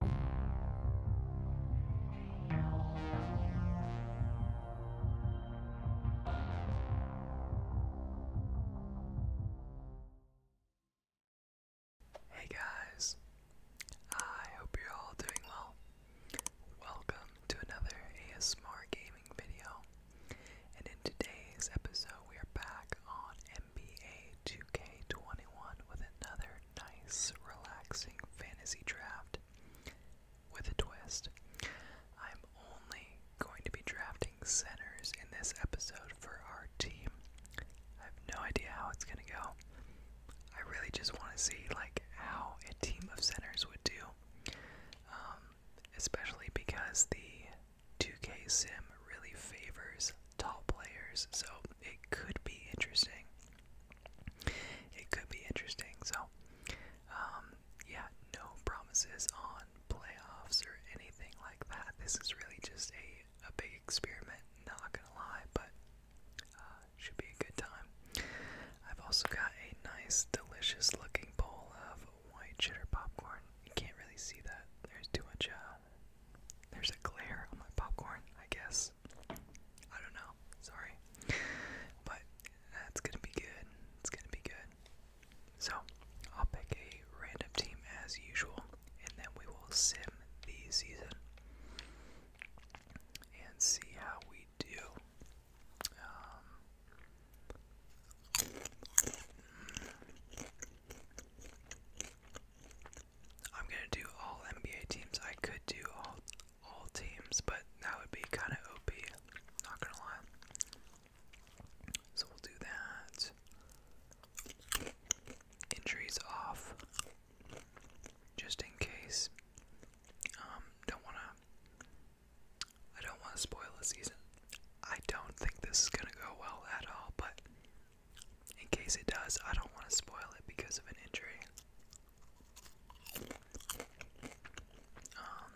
Hey guys, I hope you're all doing well. Welcome to another ASMR gaming video, and in today's episode, we are back on NBA 2K20 with another nice, relaxing fantasy draft with a twist. I'm only going to be drafting centers in this episode for our team. I have no idea how it's going to go. I really just want to see like how a team of centers would do, um, especially because the 2K sim really favors tall players. So it could be interesting. It could be interesting. So, um, yeah, no promises on playoffs or anything like that. This is really just a, a big experiment, not gonna lie, but uh, should be a good time. I've also got a nice, delicious looking bowl of white cheddar popcorn. You can't really see that. There's too much uh, there's a glare on my popcorn, I guess. I don't know. Sorry. But that's going to be good. It's going to be good. So, I'll pick a random team as usual, and then we will sim the season and see how we do. Um, I'm gonna do all NBA teams. I could do all all teams, but that would be kind of OP. Not gonna lie. So we'll do that. Injuries off, just in case. Um, don't wanna. I don't want to spoil the season. I don't think this is gonna go well at all, but in case it does, I don't want to spoil it because of an injury. Um,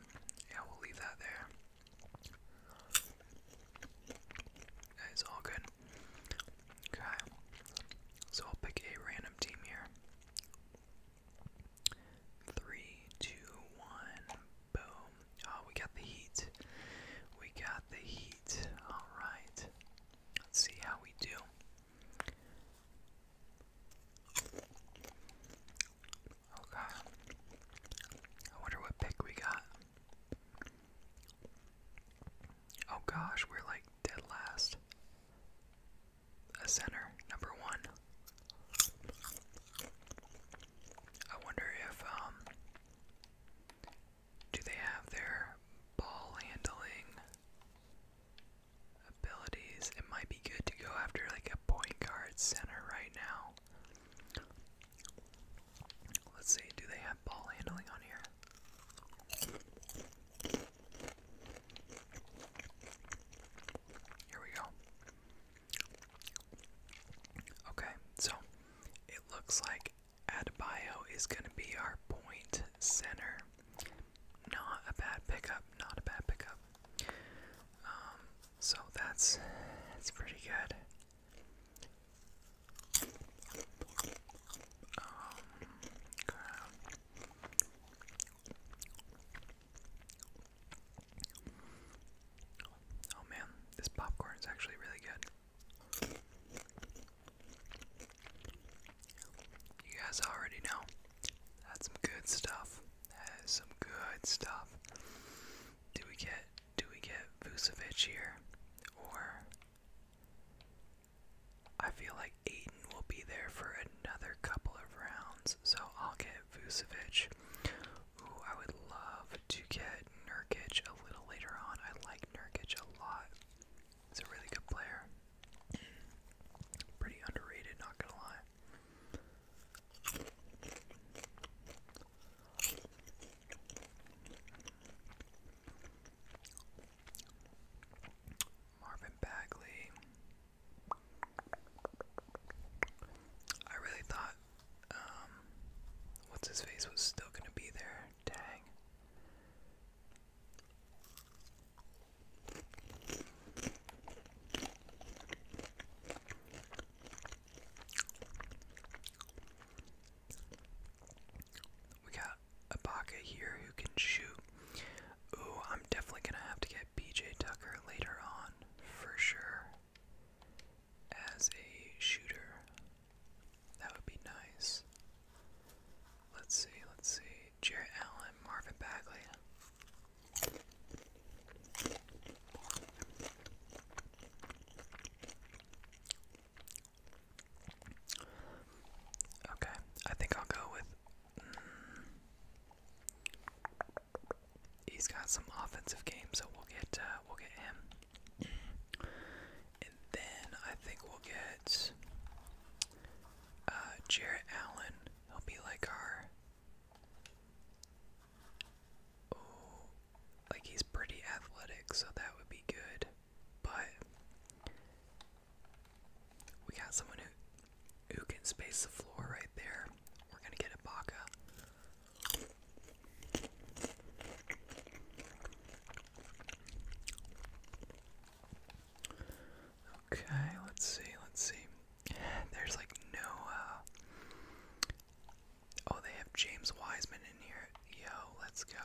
yeah, we'll leave that there. That is all good. Okay, so I'll pick a random team here. Three, two, one, boom. Oh, we got the heat. We got the heat. Alright. Let's see how we do. Okay. I wonder what pick we got. Oh gosh, we're like dead last. A center, number one. I wonder if um do they have their ball handling abilities? It might be good to go after like a point guard center right now. Let's see, do they have ball handling on here? Here we go. Okay, so it looks like Adebayo is going to be our point center. Not a bad pickup, not a bad pickup. Um, so that's that's pretty good. Um, oh man, this popcorn is actually really good. You guys already know. That's some good stuff. That is some good stuff. Do we get do we get Vucevic here? Or I feel like Aiden will be there for another couple of rounds, so I'll get Vucevic. Ooh, I would love to get Nurkic a little later on. I like Nurkic a lot. He's a really good player. Pretty underrated, not gonna lie. Marvin Bagley. I really thought, um, what's his face was still gonna be there. Dang. We got Ibaka here who can shoot. Ooh, I'm definitely gonna have to get PJ Tucker later on for sure as a shooter. That would be nice. Let's see, let's see. Jarrett Allen, Marvin Bagley. Okay, I think I'll go with. Mm, he's got some offensive game, so we'll get uh, we'll get him. And then I think we'll get uh, Jarrett Allen. He'll be like our. Oh, like he's pretty athletic, so that would be good. But we got someone who who can space the floor right there. We're gonna get Ibaka. Okay, let's see, let's see. There's like no, uh. Oh, they have James Wiseman in here. Yo, let's go.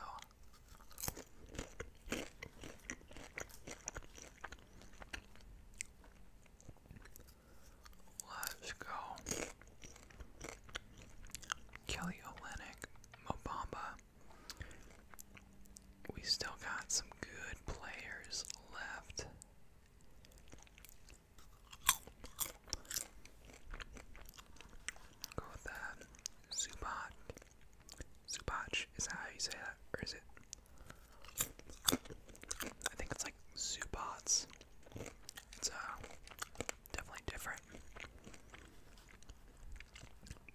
Let's go. Kelly Olynyk, Mobamba. We still got some good players left. Go with that. Zubat. Zubach, is that how you say that? Or is it? I think it's like Zubats. It's uh, definitely different.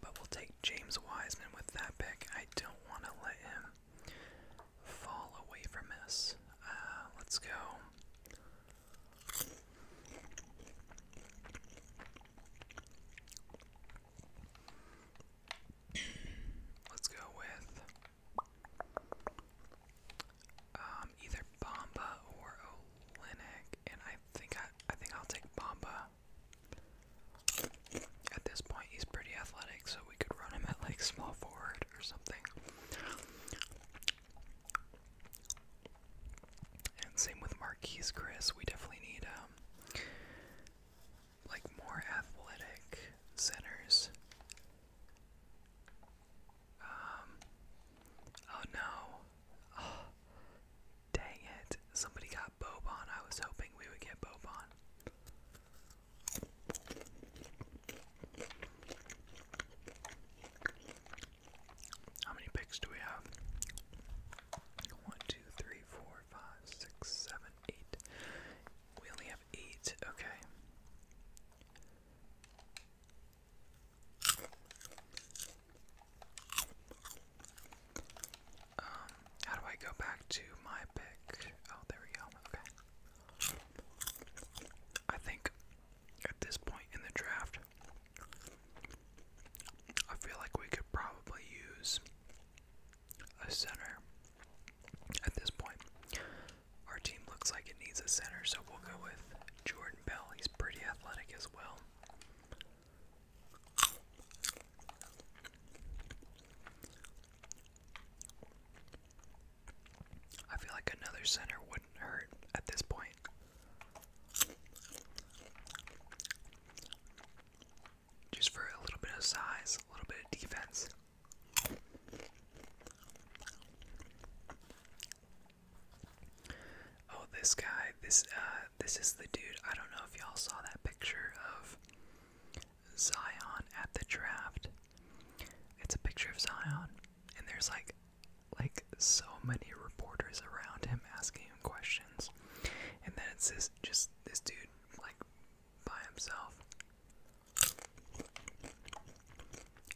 But we'll take James Wiseman with that pick. I don't want to let him fall away from us. Uh, let's go. Let's go with um, either Bomba or Olenek, and I think I I think I'll take Bamba. At this point, he's pretty athletic, so we could run him at like small forward or something. And same with Marquis Chris. We definitely need um like more athletic centers. Um, oh no. Oh, dang it. Somebody got Bobon. I was hoping we would get Bobon. How many picks do we have? 1, We only have 8. Okay. Um, how do I go back to my pick? Oh, there we go. Okay. I think at this point in the draft, I feel like we could probably use a center at this point. Our team looks like it needs a center, so we'll go with Jordan Bell. He's pretty athletic as well. I feel like another center wouldn't hurt at this point. Just for a little bit of size, a little bit of defense. Oh, this guy. This uh, this is the dude. I don't know if y'all saw that picture of Zion at the draft. It's a picture of Zion, and there's like, like so many reporters around him asking him questions, and then it's this just this dude like by himself.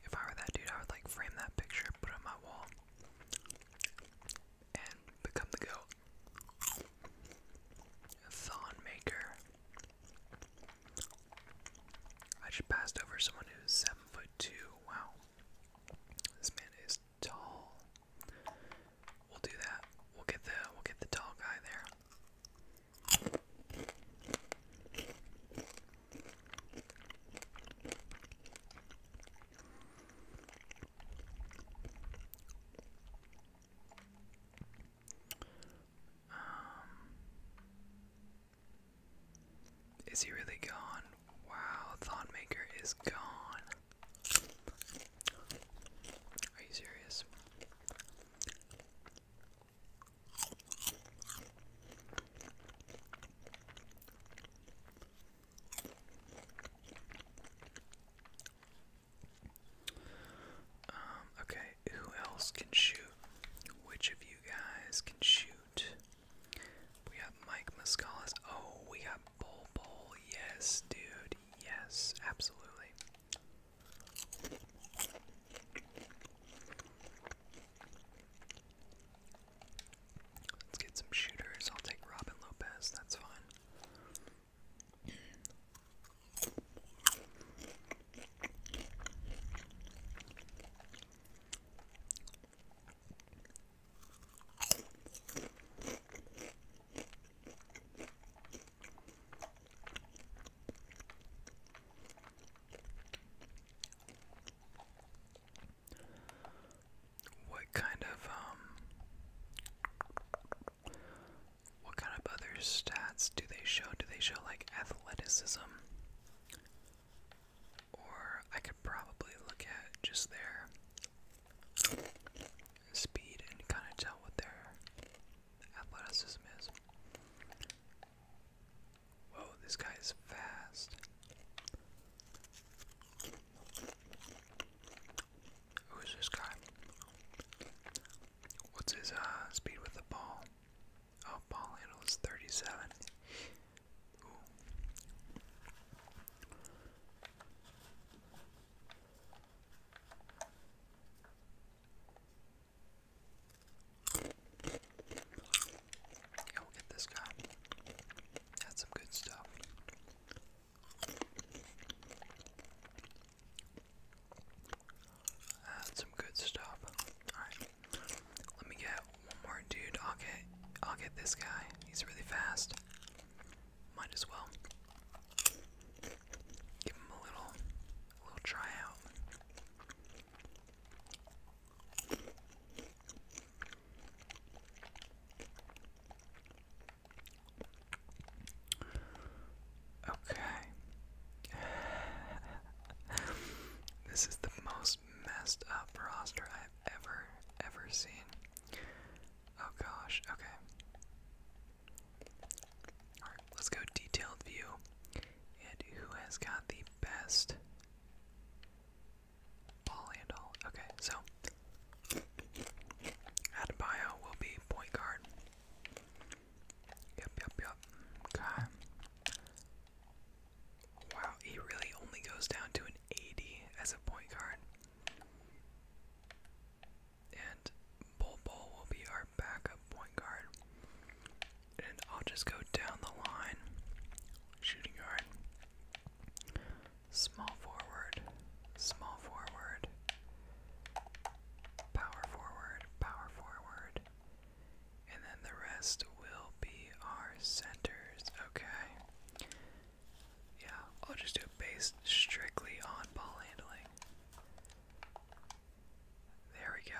If I were that dude, I would like frame that picture, put on my wall and become the goat. Thon maker. I just passed over someone who's seven foot two. Wow, this man is tall. We'll do that. We'll get the we'll get the tall guy there. Um, is he really gone? Wow, Thonmaker is gone. Are you serious? Um, okay, who else can shoot? Which of you guys can shoot? We got Mike Muscalis. Oh, we got Bull Bull. Yes, dude. Yes, absolutely. Let's get some shooters. I'll take Robin Lopez. That's fine. What kind of um what kind of other stats do they show? Do they show like athleticism? Or I could probably look at just their speed and kind of tell what their athleticism is. Whoa, this guy is fast. Who's this guy? What's his uh, speed with the ball? Oh, ball handle is 37. Yeah, we'll get this guy. That's some good stuff. That's some good stuff. Alright. Let me get one more dude. i I'll get this guy. He's really fast. Might as well. Give him a little little try Okay. this is the most messed up roster I've ever, ever seen. Oh gosh, okay. Alright, let's go detailed view. And who has got the best Polyandol. Okay, so Adebayo will be point guard. Yep, yep, yep. Okay. Wow, he really only goes down to an 80 as a point guard. And Bol Bol will be our backup point guard. And I'll just go down the line. Shooting guard. Small forward. Small forward. Power forward. Power forward. And then the rest will be our centers. Okay. Yeah, I'll just do it based strictly on ball handling. There we go.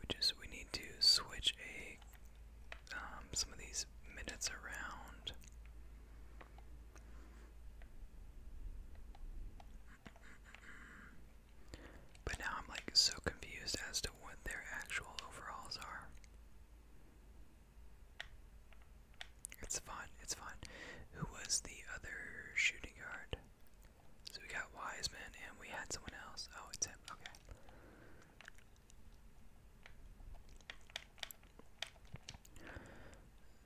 which is we need to switch a um, some of these minutes around. But now I'm like so confused as to what their actual overalls are. It's fine, it's fine. Who was the other shooting guard? So we got Wiseman and we had someone else. Oh, it's him. Okay.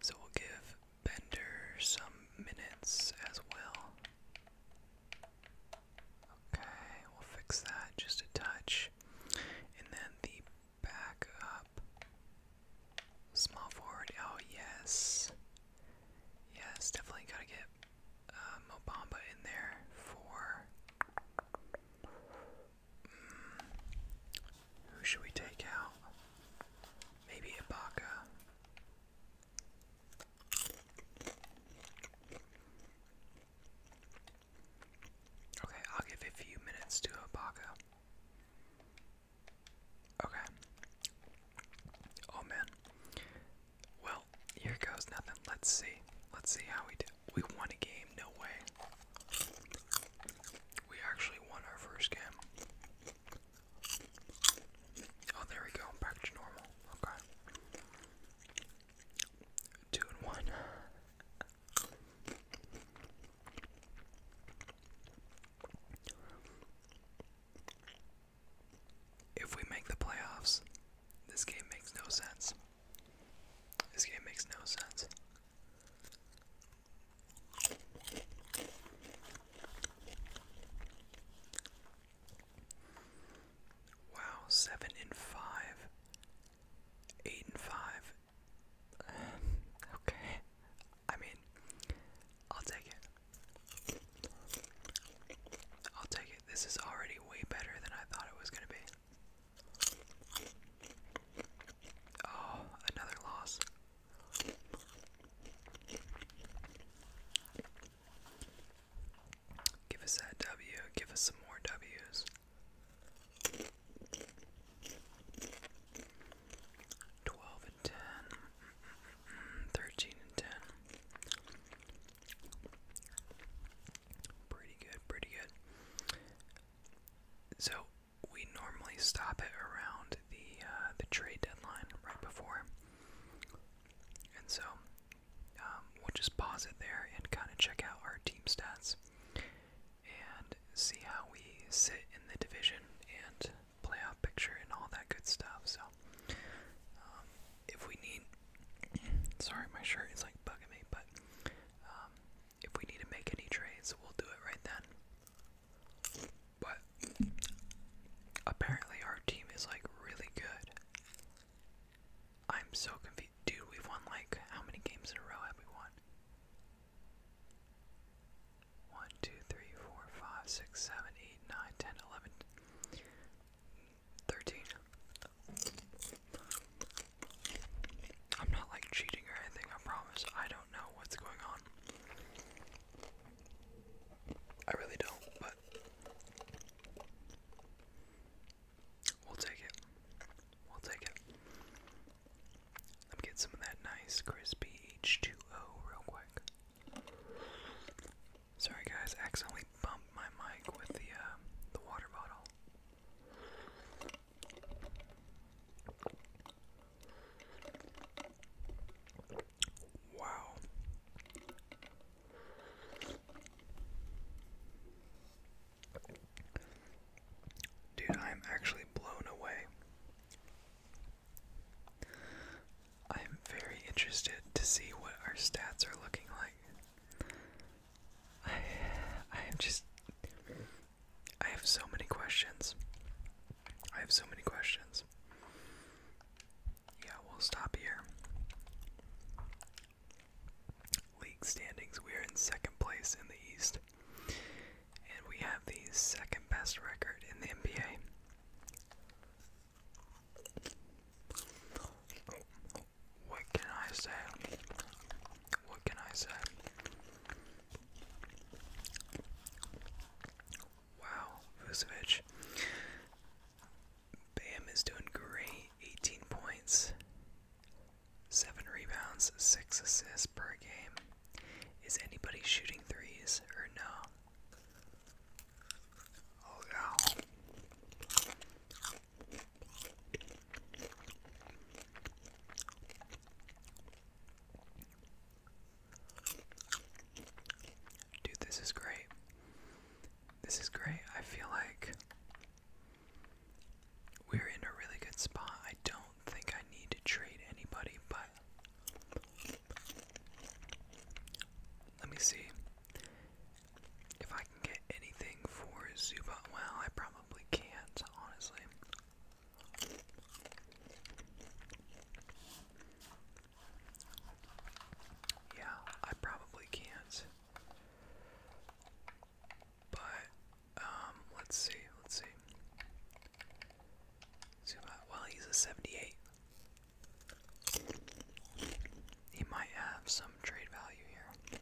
So we'll give Bender some minutes as well. Okay, we'll fix that just a touch. And then the backup. Small forward. Oh, yes. Yes, definitely gotta get uh, in there for. Hmm, who should we take out? Maybe Ibaka. Okay, I'll give a few minutes to Ibaka. Okay. Oh man. Well, here goes nothing. Let's see. Let's see how we do. We won a game. No way. We actually won our first game. Oh, there we go. Back to normal. Okay. Two and one. If we make the playoffs, this game makes no sense. This game makes no sense. Wow, seven and five, eight and five. okay, I mean, I'll take it. I'll take it. This is already way better than I thought it was going to be. Oh, another loss. Give us that W. Give us some more W's. 12 and 10. Mm, mm, mm, 13 and 10. Pretty good, pretty good. So we normally stop it around the uh, the trade deadline right before, and so um, we'll just pause it there and kind of check out our team stats and see how we sit in the division and playoff picture and all that good stuff. So um, if we need, sorry, my shirt is like bugging me, but um, if we need to make any trades, we'll do it right then. But apparently, our team is like really good. I'm so confused, dude. We've won like how many games in a row have we won? One, two, three, four, five, six, seven, eight, nine, ten, eleven. Thirteen. I'm not like cheating or anything, I promise. I don't know what's going on. I really don't, but we'll take it. We'll take it. Let me get some of that nice crispy H2O real quick. Sorry guys, accidentally bumped my mic with the uh, the water bottle. Wow. Dude, I'm actually blown away. I'm very interested to see what our stats are looking like. I I am just I have so many questions. I have so many questions. Yeah, we'll stop here. League standings. We are in second place in the East. And we have the second best record in the NBA. What can I say? What can I say? Wow, Vucevic. Bam is doing great. 18 points, 7 rebounds, 6 assists per game. Is anybody shooting threes or no? Oh, yeah. Dude, this is great. This is great. I feel like we're in a really good spot. I don't think I need to trade anybody, but let me see if I can get anything for Zubat. Well, I probably can't, honestly. Yeah, I probably can't. But um, let's see, let's see. Zubat. Well, he's a 78. He might have some trade value here.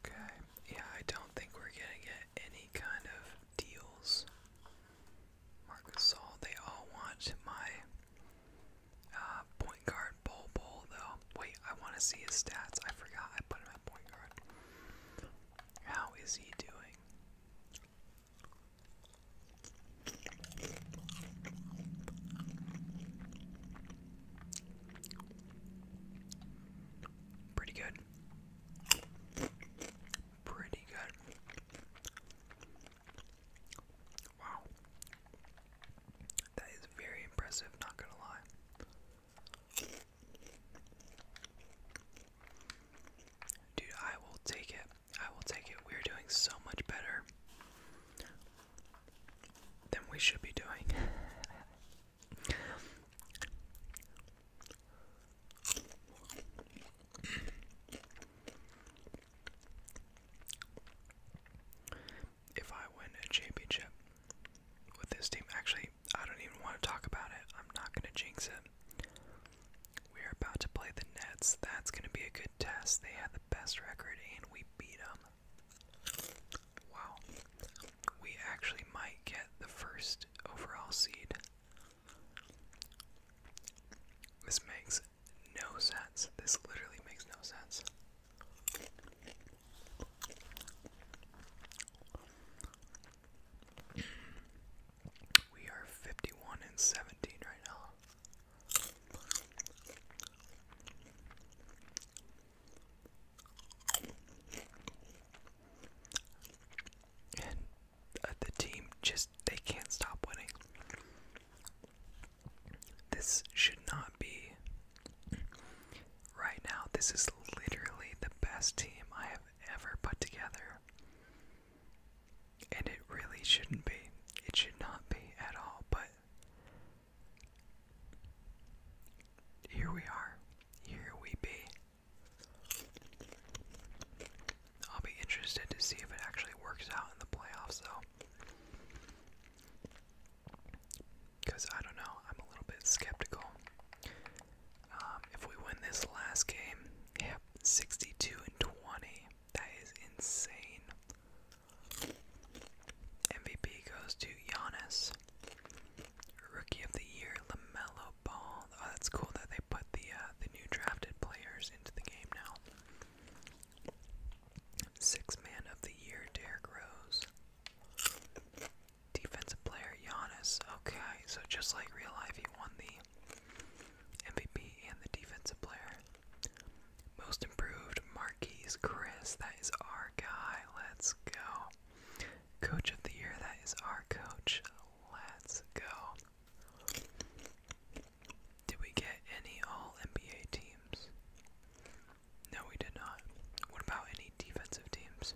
Okay, yeah, I don't think we're gonna get any kind of deals. Marcus all they all want my uh, point guard bowl bowl though. Wait, I want to see his stats. I forgot I put him at point guard. How is he doing? Pretty good. Pretty good. Wow. That is very impressive, not gonna lie. Dude, I will take it. I will take it. We're doing so much better than we should be doing. If I win a championship with this team, actually, I don't even want to talk about it. I'm not going to jinx it. We're about to play the Nets. That's going to be a good test. They had the best record we beat them. Wow. We actually might get the first overall seed. This makes no sense. This literally makes no sense. We are 51 and 17 right now. Uh, the team just, they can't stop winning. This should not be. Right now, this is literally the best team I have ever put together. And it really shouldn't be. It should not be at all, but here we are. Here we be. I'll be interested to see if it actually works out in the playoffs, though. Because I don't know, I'm a little bit skeptical. Um, if we win this last game, yep, 62 and 20. That is insane. MVP goes to Giannis. Rookie of the Year, Lamelo Ball. Oh, that's cool that they put the uh, the new drafted players into the game now. Six Man of the Year, Derrick Rose. Defensive Player, Giannis. Okay, so just like real life, he won the MVP and the Defensive Player. Most improved Marquise Chris, that is our guy. Let's go. Coach of the year, that is our coach. Let's go. Did we get any all NBA teams? No, we did not. What about any defensive teams?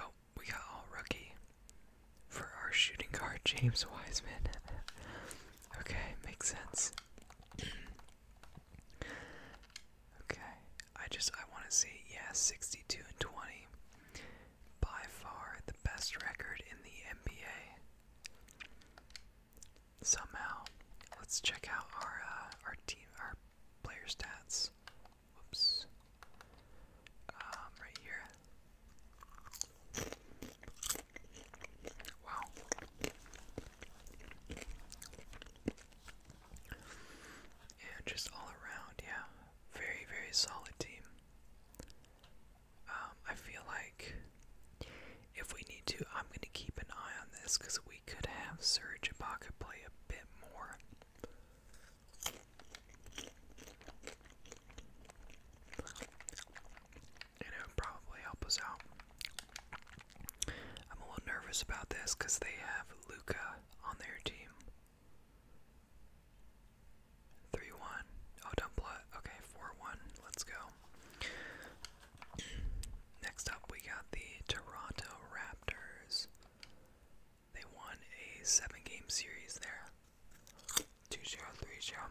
Oh, we got all rookie for our shooting guard, James Wiseman. okay, makes sense. okay, I just I want to see yeah, 62 and 20, by far the best record in the NBA. Somehow, let's check out our uh, our team our player stats. Whoops. Um, right here. Wow. Yeah, just all around, yeah. Very, very solid team. Um, I feel like if we need to, I'm going to keep an eye on this because we could have Serge Ibaka play a bit more and it would probably help us out. I'm a little nervous about this because they have Luca on their team. 3 1. Oh, don't blood. Okay, 4 1. Let's go. Next up, we got the Toronto Raptors. They won a seven game series there. Two zero three zero.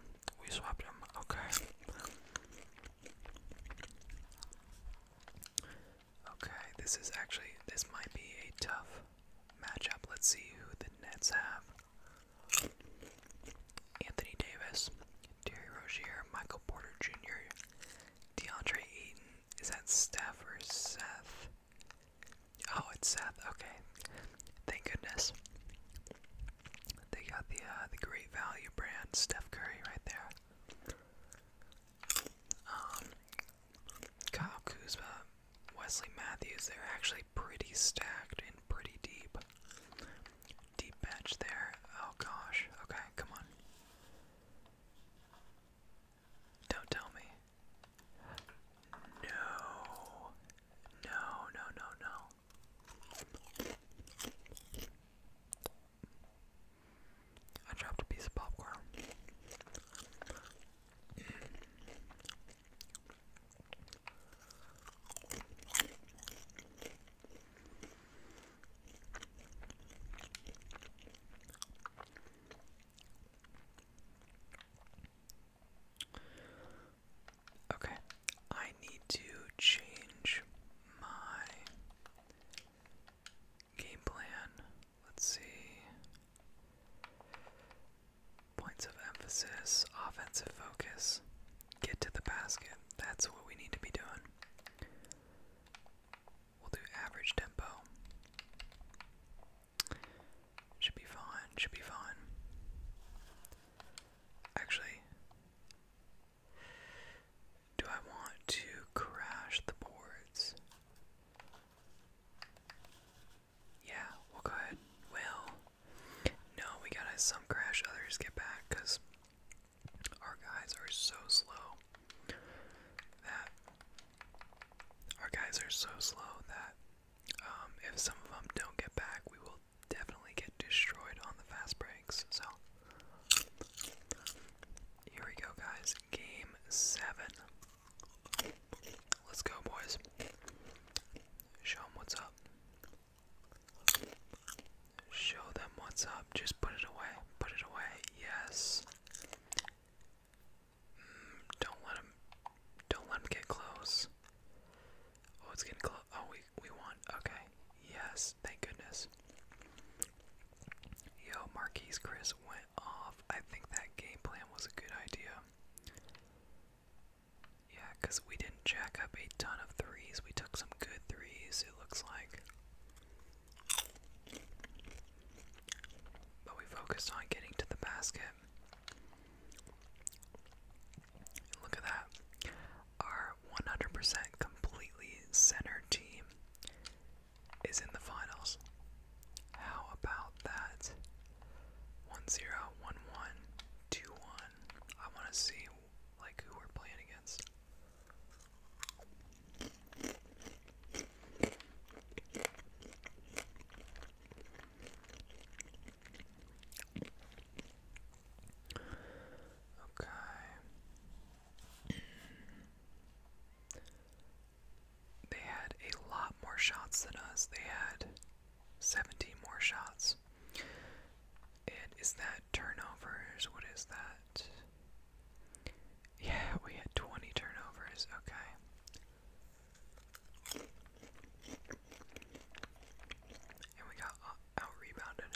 We swapped them. Okay. Okay. This is actually. This might be a tough matchup. Let's see who the Nets have. Anthony Davis, Terry Rozier, Michael Porter Jr., DeAndre Eaton. Is that Steph or Seth? Oh, it's Seth. Okay. Thank goodness. They got the uh, the Great Value brand, Steph Curry, right there. Um, Kyle Kuzma, Wesley Matthews. They're actually pretty stacked and pretty deep. Deep bench there. Oh gosh. Okay, come on. Don't tell me. No. No, no, no, no. I dropped a piece of popcorn. Okay, I need to change my game plan. Let's see. Points of emphasis, offensive focus, get to the basket. That's what we need to be doing. We'll do average tempo. Should be fine, should be fine. Actually, do I want to crash the boards? Yeah, we'll go ahead. Well, no, we gotta some crash, others get back, because our guys are so slow that. Our guys are so slow that um, if some of them don't get back, we will definitely get destroyed on the fast breaks. So, here we go, guys. Game seven. Let's go, boys. Show them what's up. Show them what's up. Just put it away. Put it away. Yes. Mm, don't let them. Don't let them get close. Oh, it's getting close. Oh, we we won. Okay. Yes. Thank goodness. Yo, Marquise Chris went off. I think that game plan was a good idea. Yeah, because we didn't jack up a ton of threes. We took some good threes, it looks like. But we focused on getting to the basket look at that. Our 100% completely centered team is in the finals. How about that? 1 I want to see like who we're playing against. Okay. They had a lot more shots than us. They had 17 more shots. And that turnovers? What is that? Yeah, we had 20 turnovers. Okay. And we got uh, out rebounded.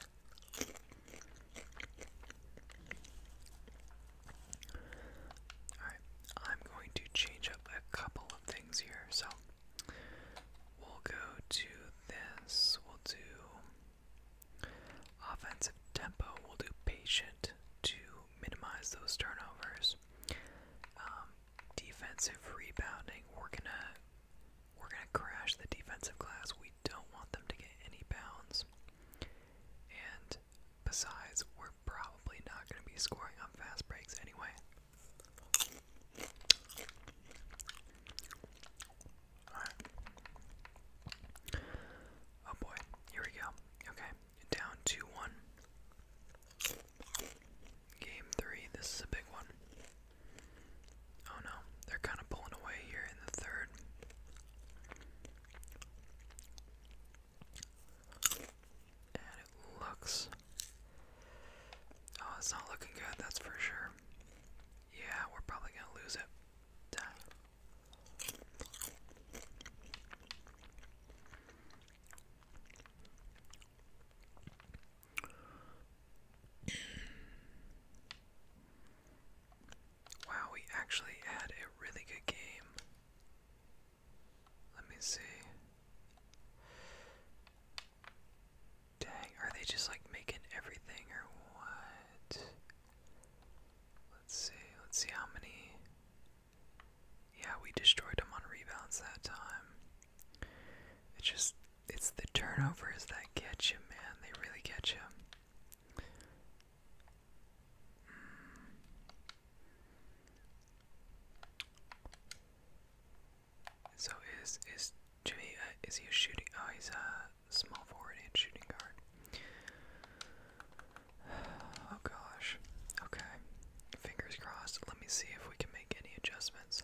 Alright, I'm going to change up a couple of things here. So we'll go to this, we'll do offensive tempo, we'll do patient to minimize those turnovers. Um, defensive rebounding. We're gonna we're gonna crash the defensive glass. We don't want them to get any bounds. And besides, we're probably not gonna be scoring on fast breaks anyway. Oh boy, here we go. Okay, down 2 1. Game three. This is a big one. Oh no, they're kind of pulling away here in the third. And it looks. Oh, it's not looking good, that's for sure. Yeah, we're probably gonna lose it. Dang. Wow, we actually had a really good game. Let me see. Dang, are they just like making everything or what? Let's see, let's see how many yeah, we destroyed them on rebounds that time. It's just, it's the turnovers that catch you, man. They really catch you. Hmm. So is is Jimmy? Uh, is he a shooting? Oh, he's a small forward and shooting guard. Oh gosh. Okay. Fingers crossed. Let me see if we can adjustments.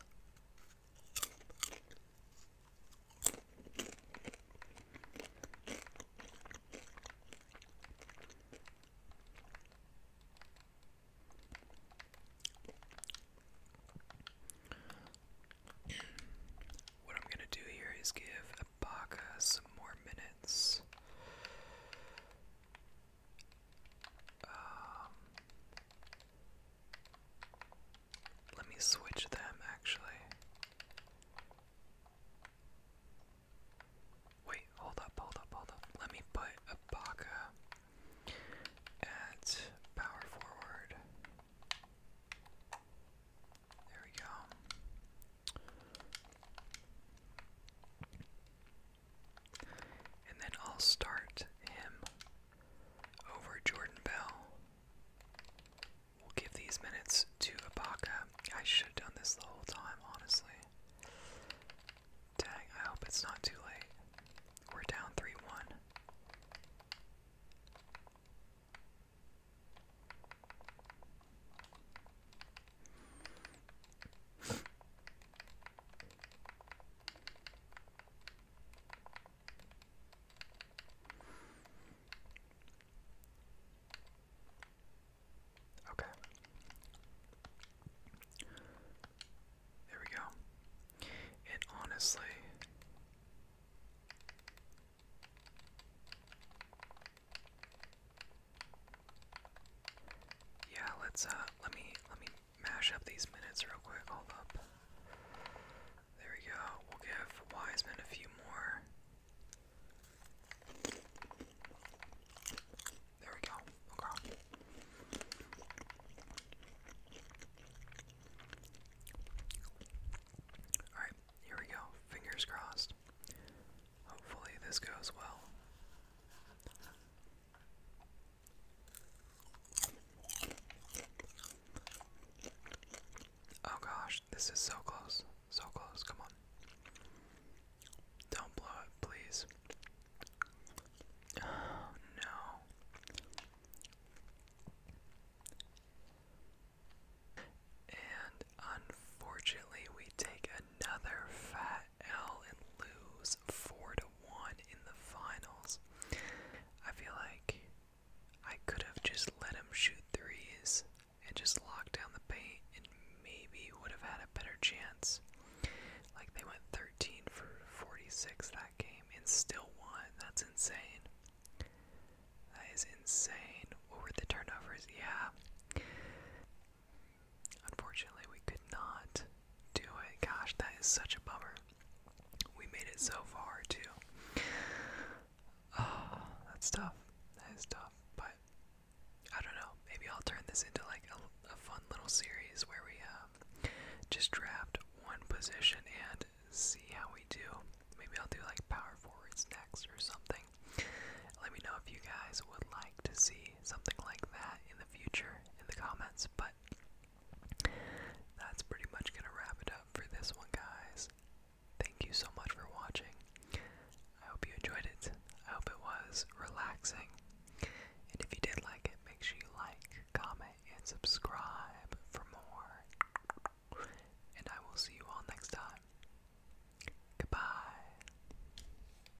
What I'm going to do here is give Ibaka some more minutes. Um, let me switch them actually. Wait, hold up, hold up, hold up. Let me put Ibaka at power forward. There we go. And then I'll start him over Jordan Bell. We'll give these minutes to Ibaka. I should have done this the whole time, honestly. Dang, I hope it's not too late. We're down 3 1. Okay. There we go. It honestly yeah, let's uh let me let me mash up these minutes real quick. Hold up. There we go. We'll give Wiseman a few more. There we go. Okay. Alright, here we go. Fingers crossed. Hopefully, this goes well. Oh gosh, this is so close. So close, come on. Don't blow it, please. Oh, no. And unfortunately, we take another fat L and lose four to one in the finals. I feel like I could have just let him shoot threes and just lock down the paint, and maybe would have had a better chance. Like they went 13 for 46 that game and still won. That's insane. That is insane. What were the turnovers? Yeah. Unfortunately, we could not do it. Gosh, that is such a bummer. We made it so far, too. Oh, that's tough. That is tough. But I don't know. Maybe I'll turn this into like a, fun little series where we um, just draft one position and see how we do. Maybe I'll do like power forwards next or something. Let me know if you guys would like to see something like that in the future in the comments, but that's pretty much gonna wrap it up for this one, guys. Thank you so much for watching. I hope you enjoyed it. I hope it was relaxing. And if you did like it, make sure you like, comment, and subscribe for more. And I will see you all next time. Goodbye.